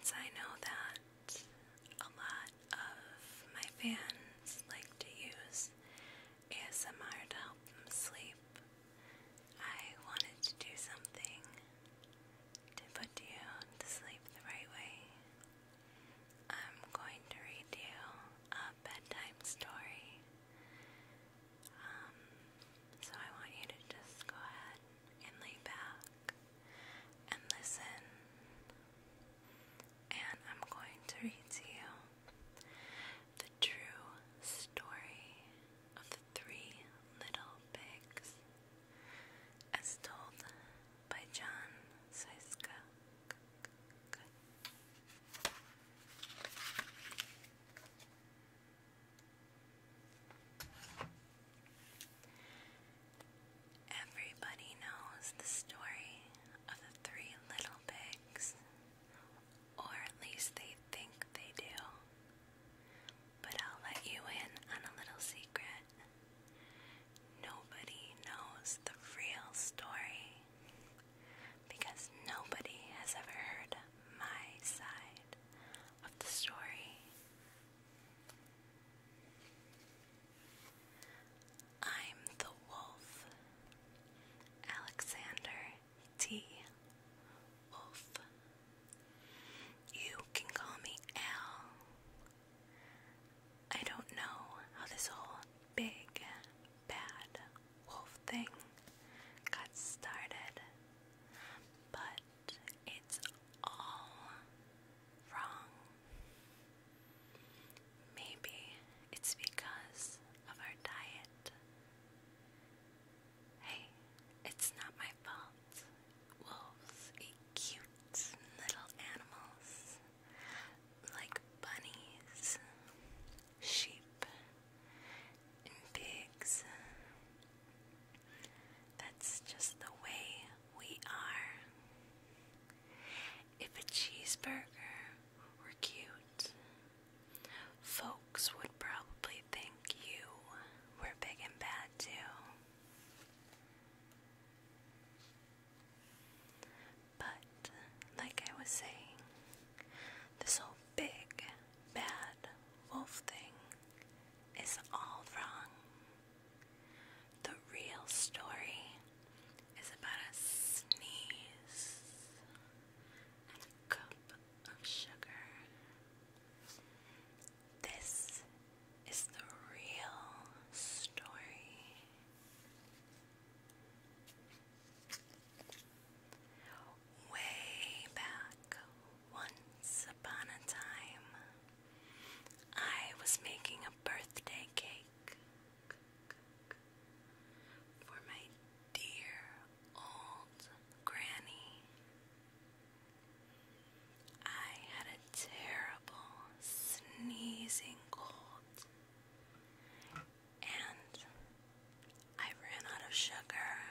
So I know that a lot of my fans like to use ASMR to help them sleep. I wanted to do something to put you to sleep the right way. I'm going to read you a bedtime story. Um, so I want you to just go ahead and lay back and listen. And I'm going to read to you the true story of the three little pigs as told by John Siska. Everybody knows the story of the three little pigs, or at least they think they do. But I'll let you in on a little secret. Nobody knows the real story because nobody has ever heard my side of the story. I'm the Wolf. Alexander T. Wolf. You can call me Al. I don't know how this whole big, bad wolf thing got started, but it's all wrong. Maybe it's because of our diet. Hey, it's not my fault. Wolves eat cute little animals like bunnies, sheep, and pigs. That's just the way we are. If a cheeseburger were cute, folks would probably think you were big and bad too. But, like I was saying, this whole big, bad wolf thing is all wrong. The real story is about a sneeze and a cup of sugar. This is the real story. Way back, once upon a time, I was making a birthday cake for my dear old granny. I had a terrible sneezing cold. And I ran out of sugar.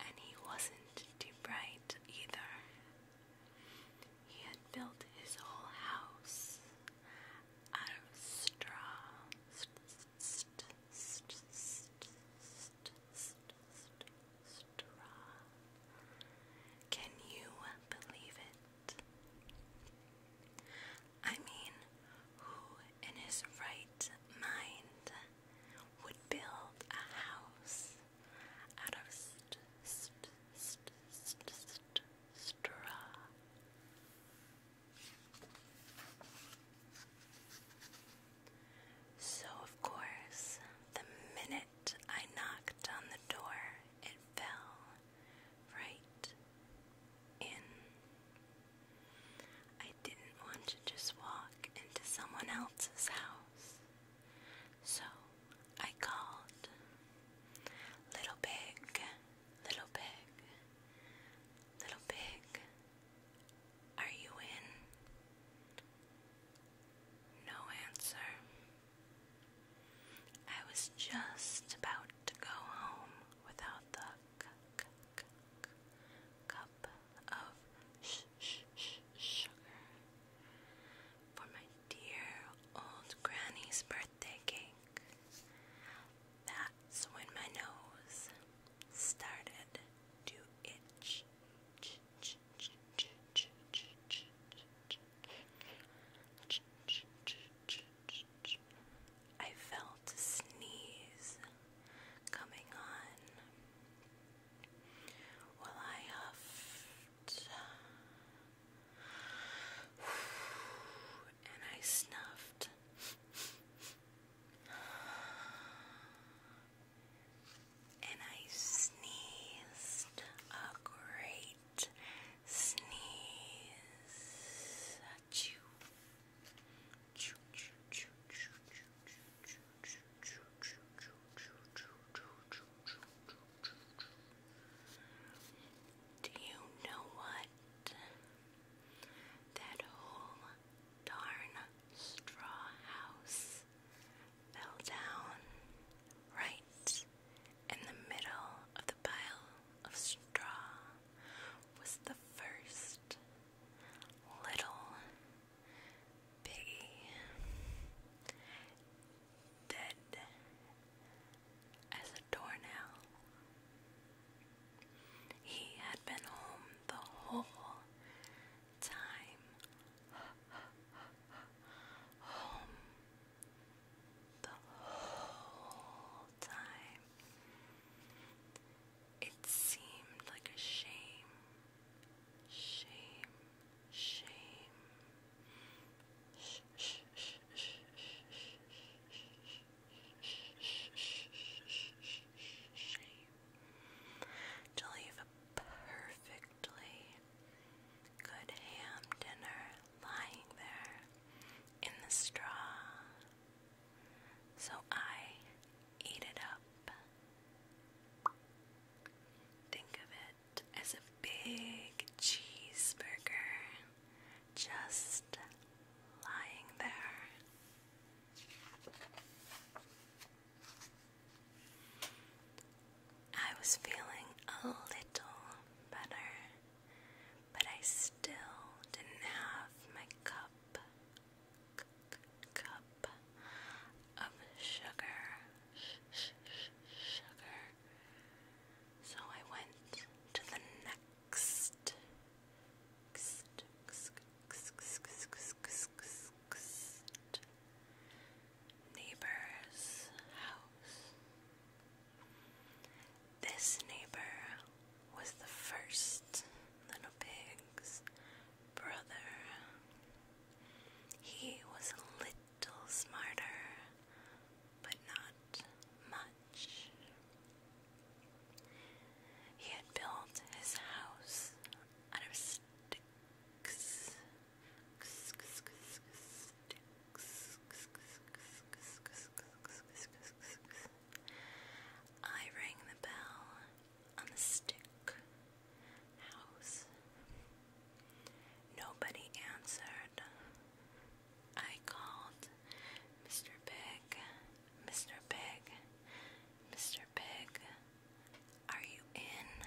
And he wasn't too bright either. He had built his whole house out of Straw. Can you believe it? I mean, who in his right mind would build a house out of straw? So, of course, the minute I knocked on the door, it fell right in. I didn't want to just walk into someone else's house, so I called Little Pig, Little Pig, Little Pig, are you in? No answer. I was just about to go home without the cup of sugar for my dear old granny's birthday cake. That's when my nose started to itch. I felt a sneeze coming on well, I huffed and I snuffed. And I sneezed a great sneeze Do you know what? That whole darn straw house fell down right in the middle of the pile of straw was the first little piggy, dead as a doornail. He had been home the whole time. Home the whole time. It seemed like a shame, shame, shame. to leave perfectly good ham dinner lying there in the straw. So I ate it up. Think of it as a big cheeseburger just lying there. I was feeling a little better but I still didn't have my cup, cup of sugar, sugar. So I went to the next, neighbor's house. This neighbor was the first little pig's brother. He was a little smarter, but not much. He had built his house out of sticks I rang the bell on the stick house. Nobody answered. I called Mr. Pig, Mr. Pig, Mr. Pig, are you in?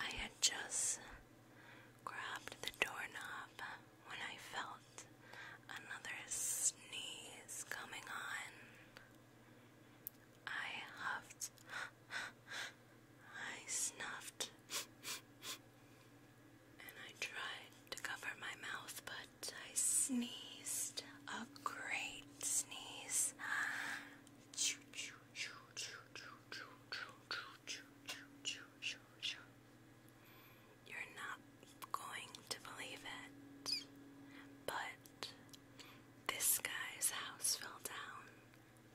I had just grabbed the doorknob when I felt another sneeze coming on. I huffed, I snuffed, and I tried to cover my mouth, but I sneezed a great sneeze. You're not going to believe it, but this guy's house fell down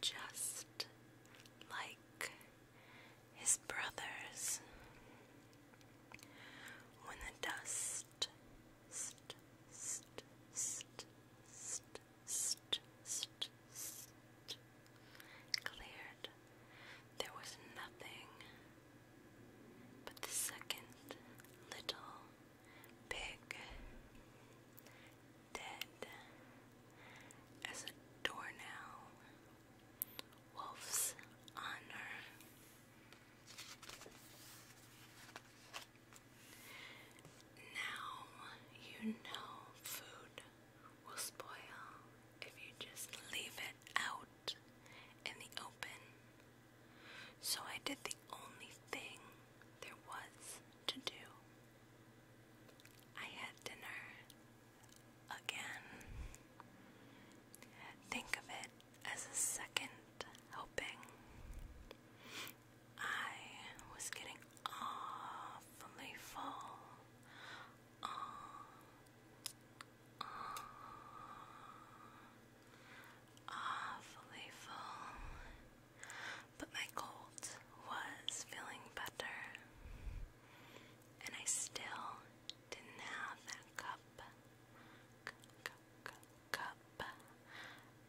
just like his brother's. When the dust cleared. There was nothing but the second little pig, dead as a doornail. Wolf's honor. Now you know food will spoil if you just leave it out in the open. So I did the only thing there was to do. I had dinner again. Think of it as a second helping. I was getting awfully full. Aw, uh, aw, awfully full. But my cold was feeling better. And I still didn't have that cup, cup, cup,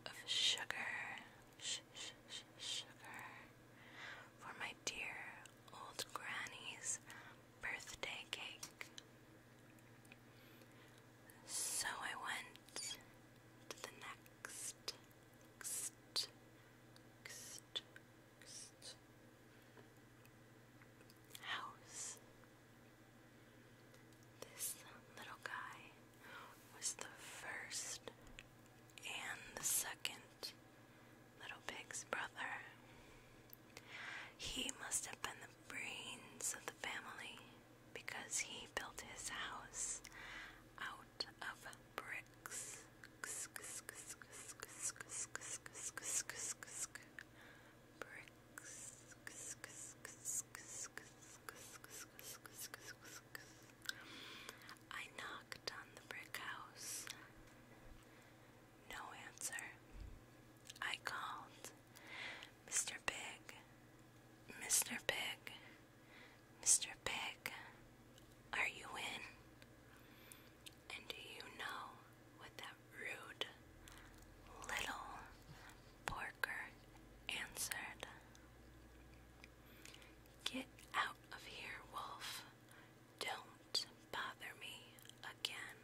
of sugar, sugar for my dear old granny's birthday cake. So I went to the next, house. This little guy was the first and the second little pig's brother. He must have been the brains of the family because he built his house out of bricks. Bricks masks. I knocked on the brick house. No answer. I called. Mr. Pig. Mr. Pig. Mr. Pig. Are you in? And do you know what that rude little porker answered? Get out of here, wolf. Don't bother me again.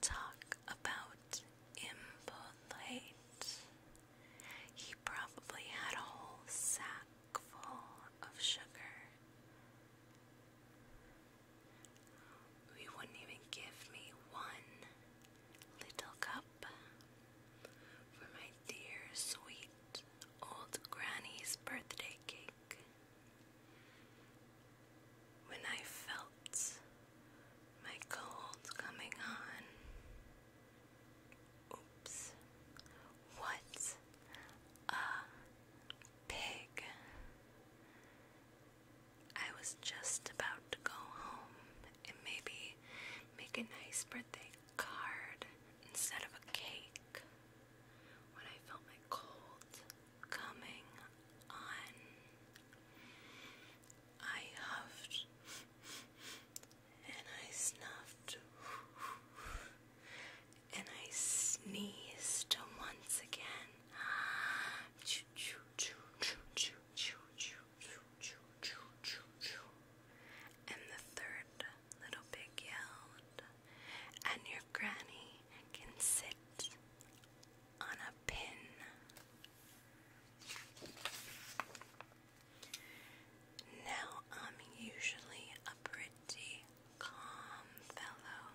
Talk about impolite. He probably had a whole sack full of sugar. You wouldn't even give me one little cup for my dear, sweet old granny's birthday cake. When I felt my cold coming on, oops, what a pig! I was just about to go home and maybe make a nice birthday card instead of a cake when I felt my cold coming on. I huffed and I snuffed and I sneezed once again. And the third little pig yelled, and your granny can sit on a pin. Now I'm usually a pretty calm fellow,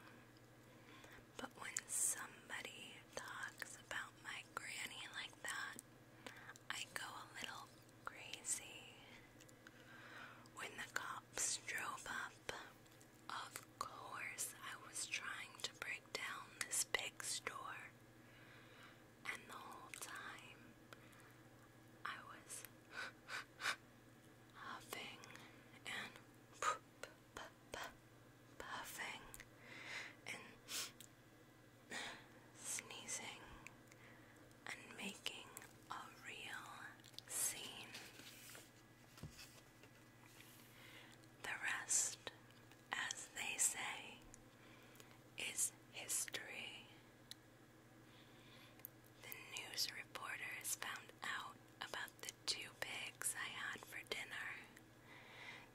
but when somebody talks about my granny like that, I go a little crazy. When the cops drove up, of course I was trying to break down this big store. And the whole time I was huffing and poop puffing and sneezing and making a real scene. The rest, as they say, is history. The news reporters found out about the two pigs I had for dinner.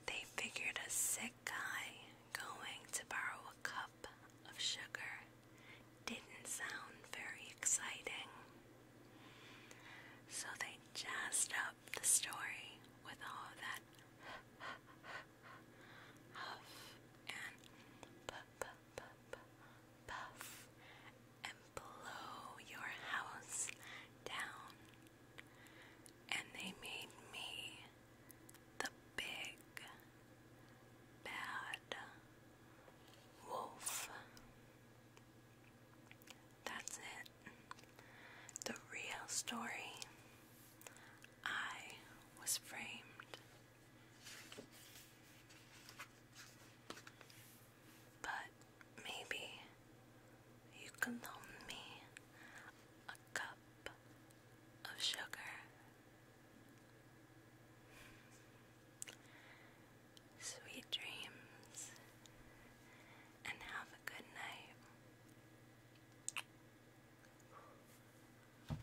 They figured a sick guy going to borrow a cup of sugar didn't sound very exciting. So they jazzed up the story with all that huff and puff, puff, and blow your house down. And they made me the big bad wolf. That's it. The real story. I was framed but maybe you can loan me a cup of sugar. Sweet dreams and have a good night.